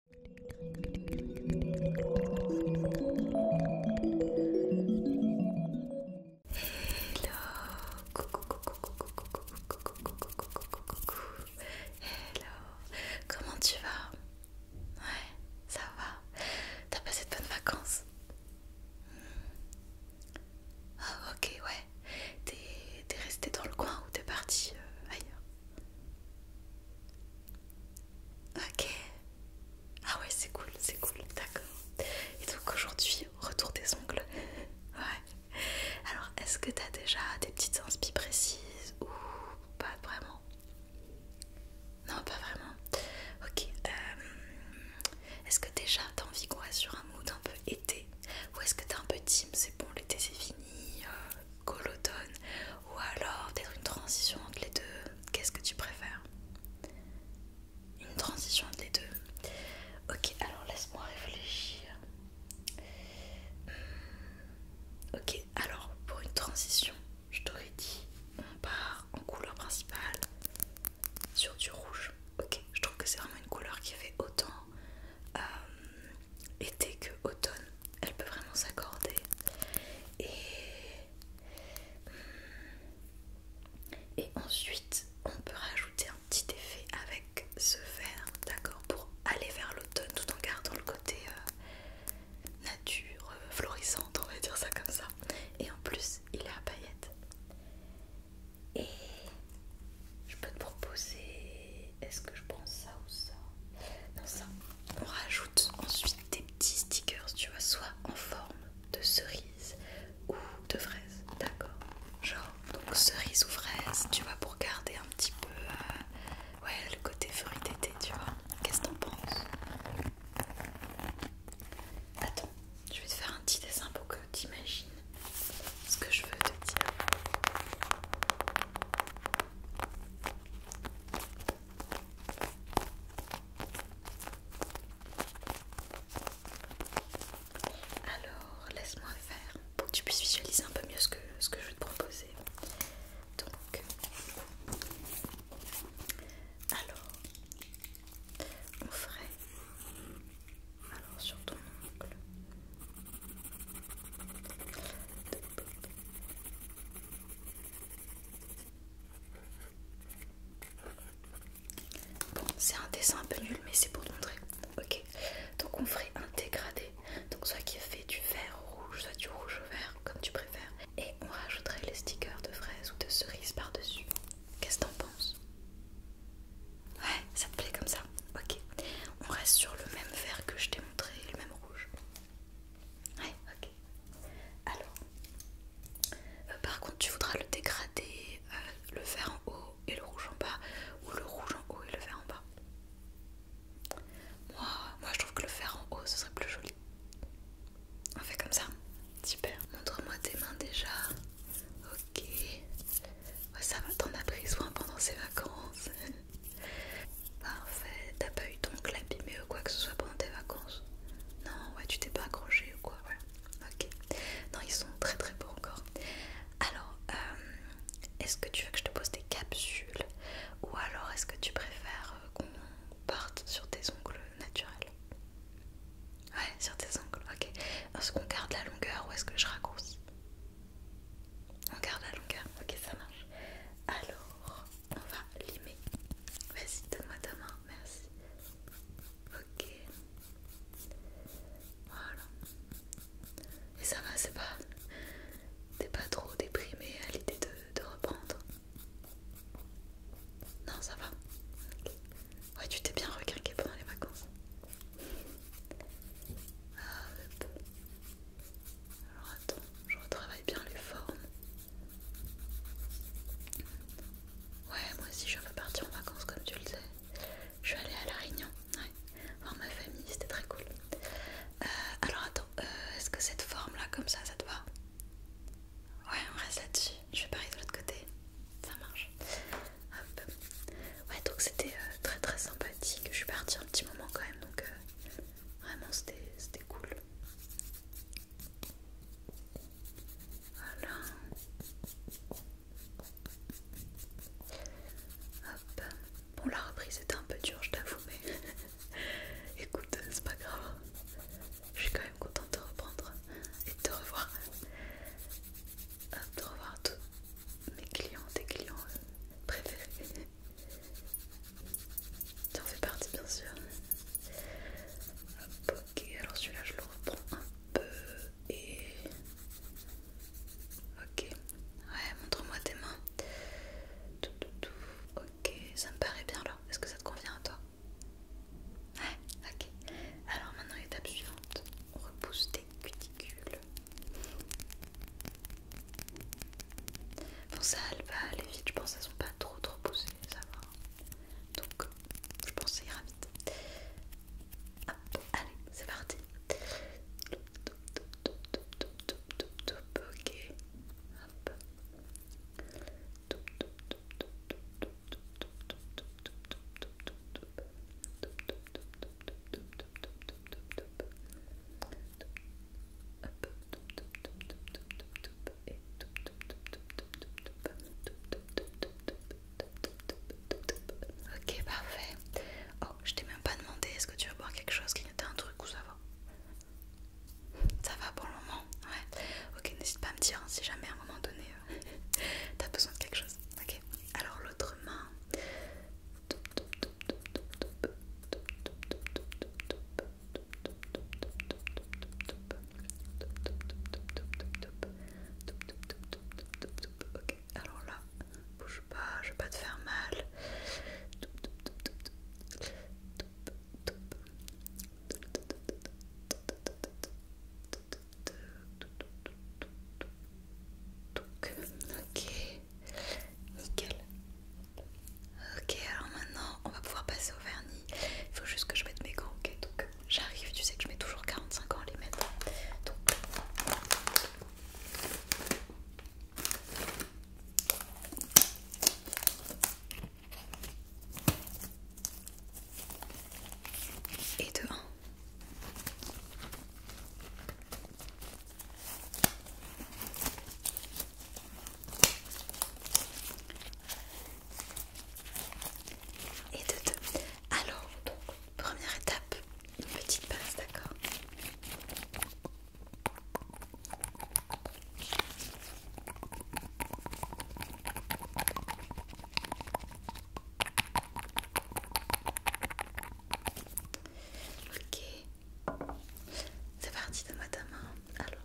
coucou, coucou, coucou, coucou, coucou, coucou, coucou, hello, comment tu vas Ouais, ça va, t'as passé de bonnes vacances Oh ok, ouais, t'es resté dans le coin ou t'es parti ailleurs Ok. Ah ouais, c'est cool, c'est cool, d'accord. Et donc aujourd'hui, retour des ongles. ouais. Alors, est-ce que t'as déjà des petites inspirations précises ou pas vraiment Non, pas vraiment. Ok. Euh, est-ce que déjà t'as envie qu'on reste sur un mood un peu été Ou est-ce que t'es un peu team, c'est bon, l'été c'est fini, euh, l'automne ou alors d'être une transition entre les deux Qu'est-ce que tu préfères Une transition entre les deux Ok, alors laisse-moi réfléchir. Hmm, ok, alors pour une transition, je t'aurais dit on part en couleur principale sur du rouge. Ok, je trouve que c'est vraiment une couleur qui fait autant et euh, été que automne. Elle peut vraiment s'accorder. Et, ensuite, on peut rajouter un petit effet avec ce vert, d'accord, pour aller vers l'automne tout en gardant le côté euh, nature, euh, florissante, on va dire ça comme ça. Et en plus, il est à paillettes. Et je peux te proposer est-ce que je pense ça ou ça Non, ça. On rajoute ensuite des petits stickers, tu vois, soit en forme de cerise ou de fraise, d'accord Genre, donc cerise ou fraise, tu vois, pour garder un petit peu euh, le côté fruité, d'été, tu vois. Qu'est-ce que t'en penses Attends, je vais te faire un petit dessin pour que t'imagines ce que je veux te dire. Alors, laisse-moi faire pour que tu puisses visualiser un peu mieux ce que, ce que je veux te proposer. Donc, alors, on ferait sur ton Bon, c'est un dessin un peu nul, mais c'est pour te montrer. Ok, donc on ferait un dégradé. Donc, soit qui fait du vert au rouge, soit du rouge au vert, comme tu préfères. Et on rajouterait les stickers de fraises ou de cerises par-dessus. Qu'est-ce que t'en penses Ouais, ça te plaît comme ça Ok. On reste sur le même vert que je t'ai montré, le même rouge. Ouais, ok. Alors, euh, par contre, tu voudras le dégrader, euh, le vert en haut et le rouge en bas, ou le rouge en haut et le vert en bas. Moi, moi je trouve que le vert en haut, ce serait plus joli. On fait comme ça Super. Montre-moi tes mains déjà. Ok. Ouais, ça va, t'en as pris soin pendant ces vacances. Parfait, t'as pas eu ton abîmé ou quoi que ce soit pendant tes vacances Non, ouais, tu t'es pas accroché ou quoi, Ok, non, ils sont très très beaux encore. Alors, euh, est-ce que tu veux que je te pose des capsules ou alors est-ce que tu préfères euh, qu'on parte sur tes ongles naturels Ouais, sur tes ongles, ok. Est-ce qu'on garde la longueur ou est-ce que je raccourcis on garde la longueur, ok ça marche. Alors, on va limer. Vas-y, donne-moi ta main, merci. Ok. Voilà. Et ça va, c'est pas... T'es pas trop déprimé à l'idée de, reprendre Non, ça va. Ouais, tu t'es bien recréqué pendant les vacances. Alors attends, je retravaille bien les formes. Ouais, moi aussi je veux partir en vacances comme tu le sais. Je vais aller à La Réunion, ouais, voir ma famille, c'était très cool. Euh, alors attends, euh, est-ce que cette forme là, comme ça, ça te va Ouais, on reste là-dessus. Je vais pareil de l'autre côté, ça marche. Hop. Ouais, donc c'était euh, très très sympathique. Je suis partie un petit moment quand même, donc euh, vraiment c'était cool. Voilà. Hop. Bon, la reprise était un peu dur je t'avoue, mais écoute, c'est pas grave. Je suis quand même contente de reprendre et de te revoir. Hop, de revoir tout, mes clients, tes clients euh, préférés. Tu en fais partie, bien sûr. ok, alors celui-là, je le reprends un peu et. Ok, ouais, montre-moi tes mains. Tout, tout, tout. Ok, ça me paraît bien là. Est-ce que ça te convient à toi Ouais, ok. Alors maintenant, étape suivante, repousse tes cuticule cuticules. Bon ça elle va aller vite, je pense qu'elles sont pas trop trop poussées, ça va. Donc je pense que ça ira vite. Hop, allez, c'est parti. Ok. Hop. Ok, parfait. Oh, je t'ai même pas demandé est-ce que tu veux boire quelque chose, n'était un truc ou ça va Ça va pour le moment Ouais. Ok, n'hésite pas à me dire hein, si jamais à un moment donné t'as besoin de quelque chose. Ok. Alors l'autre main. Ok. Alors là, bouge pas, je vais pas te faire mal. Ok, nickel. Ok, alors maintenant on va pouvoir passer au vernis. Il faut juste que je mette mes gants. Ok, donc j'arrive. Tu sais que je mets toujours 45 ans les mettre. Donc et de 1. Et de 2 Alors, donc, première étape, une petite base, d'accord Ok, c'est parti de ma main. Alors,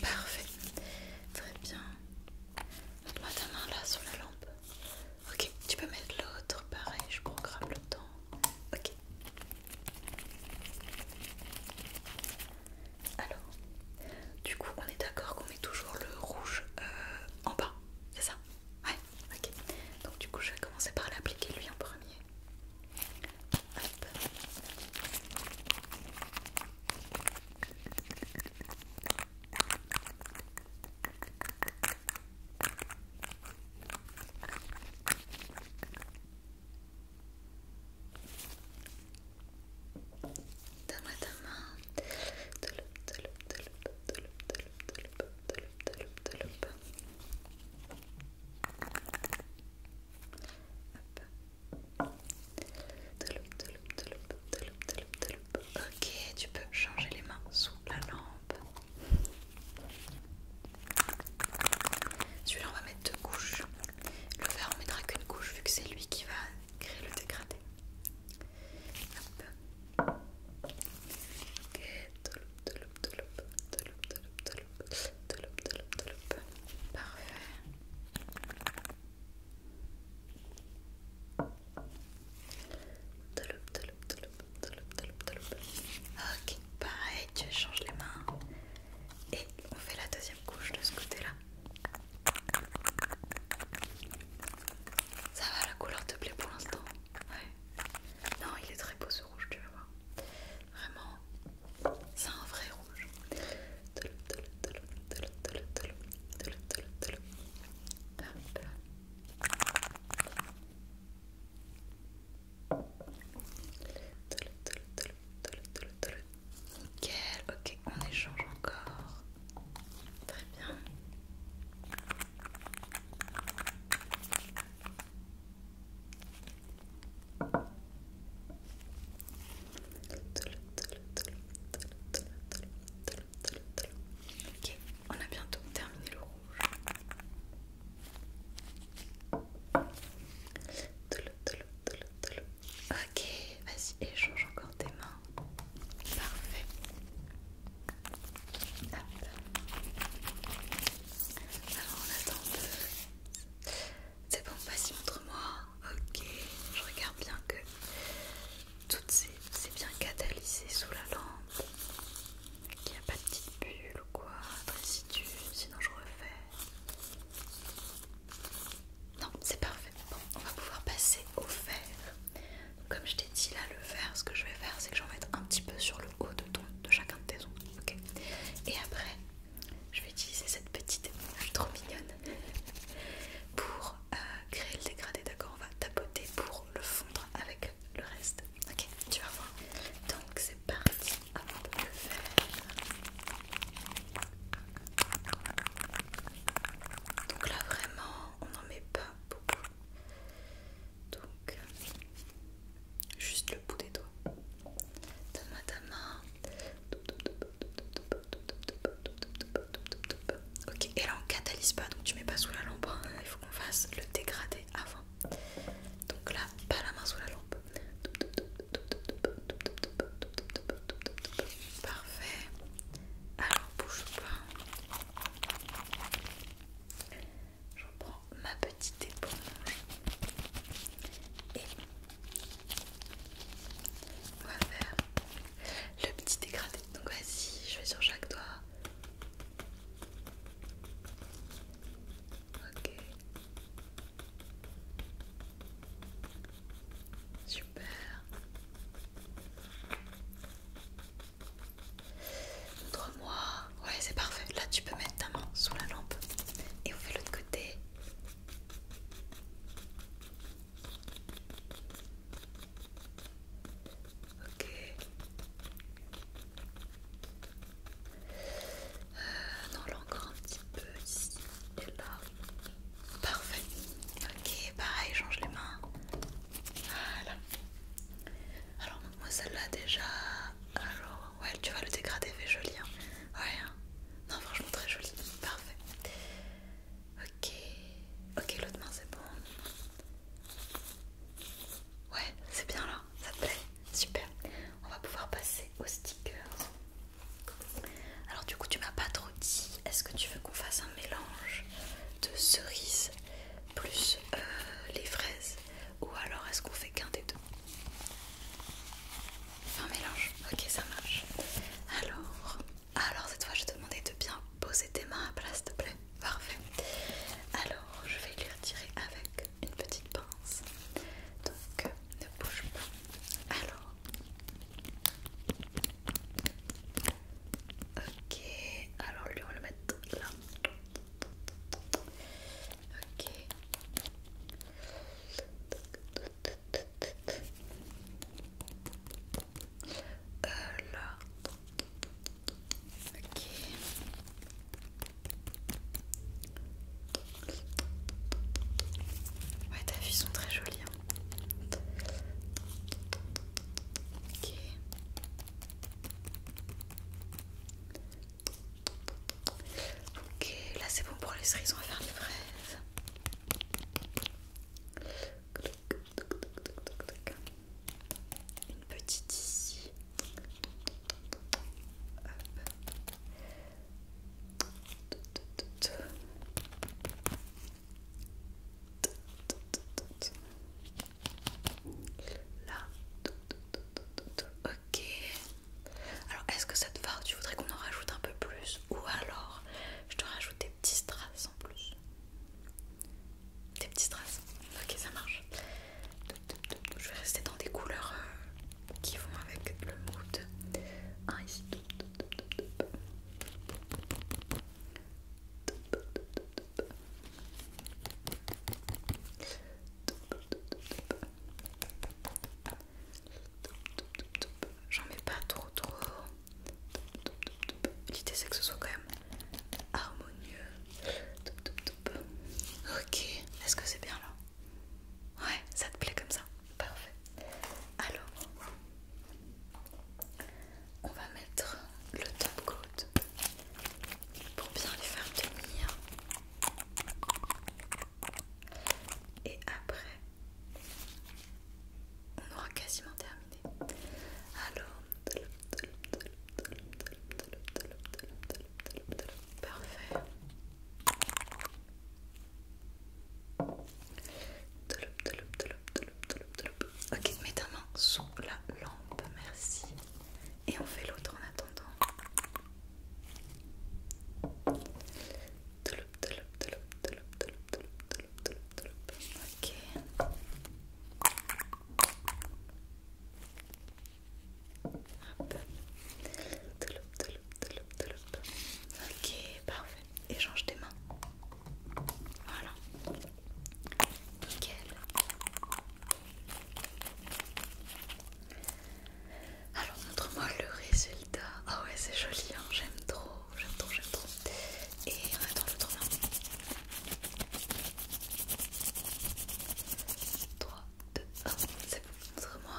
Parfait, très bien. Mets-moi ta main là sur la lampe. Ok, tu peux mettre l'autre, pareil, je programme le temps. Ok. Alors, du coup, on est d'accord qu'on met toujours le rouge euh, en bas, c'est ça Ouais, ok. Donc du coup je vais commencer par l'appliquer lui en premier. Hop. Donne-moi ta main. Touloup, touloup, touloup, touloup, touloup, Ok, tu peux changer les mains sous la lampe. Celui-là, on va mettre deux couches. Le vert, on mettra qu'une couche vu que c'est lui qui va créer le dégradé. Hop. Ok, Parfait. Ok, pareil, tu change les mains. Et on fait la deuxième couche de ce côté-là. Ça va, la couleur te plaît pour l'instant ouais. Non, il est très beau ce rouge, tu vas voir. Vraiment, c'est un vrai rouge. Nickel, ok, on échange encore. Très bien on a bientôt terminé le rouge. Ok, vas-y, échange encore des mains. Parfait. Alors on attend C'est bon, vas-y montre-moi. Ok, je regarde bien que tout s'est c'est bien catalysé sous la lampe. il n'y a pas de petite bulle ou quoi, de tu sinon je refais. Non, c'est parfait. Bon, on va pouvoir passer au fer comme je t'ai dit là, le vert, ce que je vais faire, c'est que j'en vais mettre un petit peu sur le haut de, ton, de chacun de tes ongles. Et après, je vais utiliser cette petite, je trop mignonne, pour euh, créer le dégradé. D'accord, on va tapoter pour le fondre avec le reste. Ok, tu vas voir. Donc, c'est parti. Avant de le faire. Donc là vraiment, on n'en met pas beaucoup. Donc, juste le bout des doigts. Donne-moi main. Ok, et là on catalyse pas, donc tu mets pas sous la lampe. Il faut qu'on fasse le dégradé avant. Donc là, pas la main sous la lampe. Parfait. Alors bouge pas. Je prends ma petite éponge et on va faire le petit dégradé. Donc vas-y, je vais sur chaque doigt. Ok. Super. Montre-moi. Ouais, c'est parfait. Là, tu peux mettre ta main sous la lampe et on fait l'autre côté. Ok. Euh, non, là encore un petit peu ici et là. Parfait. Ok, pareil, change les mains. Voilà. Alors, moi, celle-là déjà. Alors, ouais, tu vois, le dégradé fait joli. Hein. Ouais, hein. non, franchement, très joli. Parfait. Ok, ok, l'autre main, c'est bon. Ouais, c'est bien là, ça te plaît Super. On va pouvoir passer aux stickers. Alors du coup tu m'as pas trop dit, est-ce que tu veux qu'on fasse un mélange de cerises plus euh, les fraises ou alors est-ce qu'on fait qu'un des deux Un mélange, ok ça marche. Alors, alors cette fois je vais te demander de bien poser tes mains à place, s'il te plaît. Parfait. Alors je vais les retirer avec une petite pince. Donc ne bouge pas. Alors Ok, alors lui on le mettre là. Ok. Euh, là. Ok. Ouais, ta fille sont très jolies. Hein. Ok. Ok, là c'est bon pour les cerises, on va faire les fraises. Une petite ici. Là. Ok. Alors, est-ce que ça te va Tu voudrais qu'on en rajoute un peu plus Ou alors, je te rajoute des petits strass en plus Des petits strass Ok, ça marche. Je vais rester dans des couleurs euh, qui vont avec le mood. Un ici. J'en mets pas trop trop. L'idée c'est que ce soit quand même harmonieux. Ok, est-ce que c'est bien là Ouais, ça te plaît comme ça Parfait. Alors, on va mettre le top coat pour bien les faire tenir. Et après, on aura quasiment terminé. Alors, parfait. Ok, mets ta sous la lampe, merci. Et on fait l'autre en attendant. Ok. Ok, parfait. Échange tes mains. Voilà. Nickel. Alors montre-moi le résultat. Ah ouais c'est joli, hein. j'aime trop, j'aime trop, j'aime trop. Et on attend le main 3, 2, 1, c'est bon, montre-moi.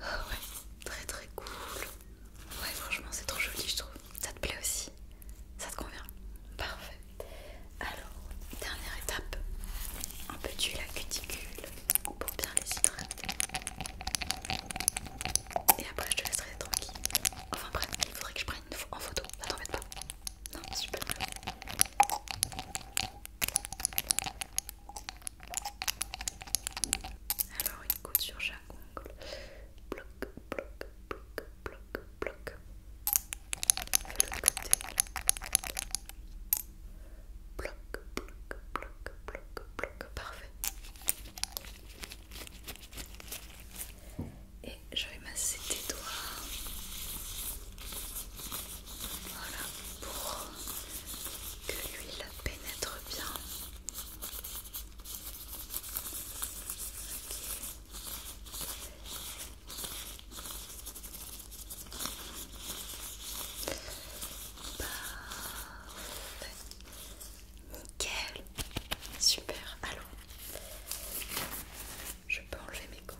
Ah ouais, très très cool. Ouais, franchement, c'est trop joli, je trouve. Ça te plaît aussi Ça te convient Parfait. Alors, dernière étape un peu d'huile à cuticule pour bien les Et après, je te laisserai tranquille. Enfin, bref, il faudrait que je prenne en photo. Ça t'embête pas Non, super. Alors une goutte sur chaque ongle. Bloc, bloc, bloc, bloc, bloc. Et côté. Bloc, bloc, bloc, bloc, bloc. Parfait. Et je vais masser tes doigts. Voilà, pour que l'huile pénètre bien. Parfait. Bah, Super. Allons, je peux enlever mes gants.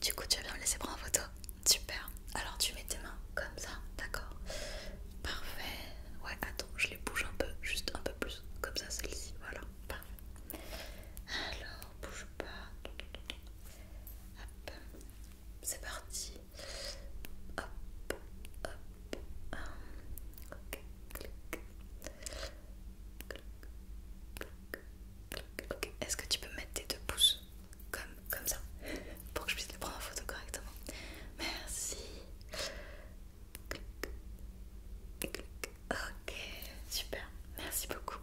Du coup, tu vas bien me laisser prendre en photo Super. Alors, tu mets tes mains comme ça, d'accord Parfait. Ouais, attends, je les bouge un peu, juste un peu plus. Comme ça, celle-ci, voilà. Parfait. Alors, bouge pas. Hop. C'est parti. Hop, hop. Ok, clic est-ce que tu peux mettre tes deux pouces comme, comme ça pour que je puisse les prendre en photo correctement Merci. Ok, super, merci beaucoup.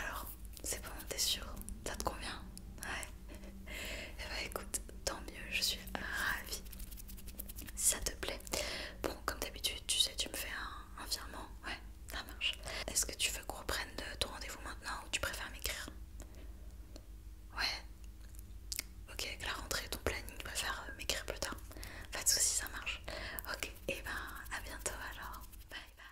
Alors, c'est bon, t'es sûr Ça te convient Ouais. Eh bah écoute, tant mieux, je suis ravie. Si ça te plaît. Bon, comme d'habitude, tu sais, tu me fais un virement, ouais ça marche. Est-ce que tu veux qu'on reprenne ton rendez-vous maintenant ou tu préfères m'écrire Ouais. Ok, la rentrée, ton planning, tu préfères euh, m'écrire plus tard. Pas de soucis, ça marche. Ok, et eh ben à bientôt alors. Bye bye.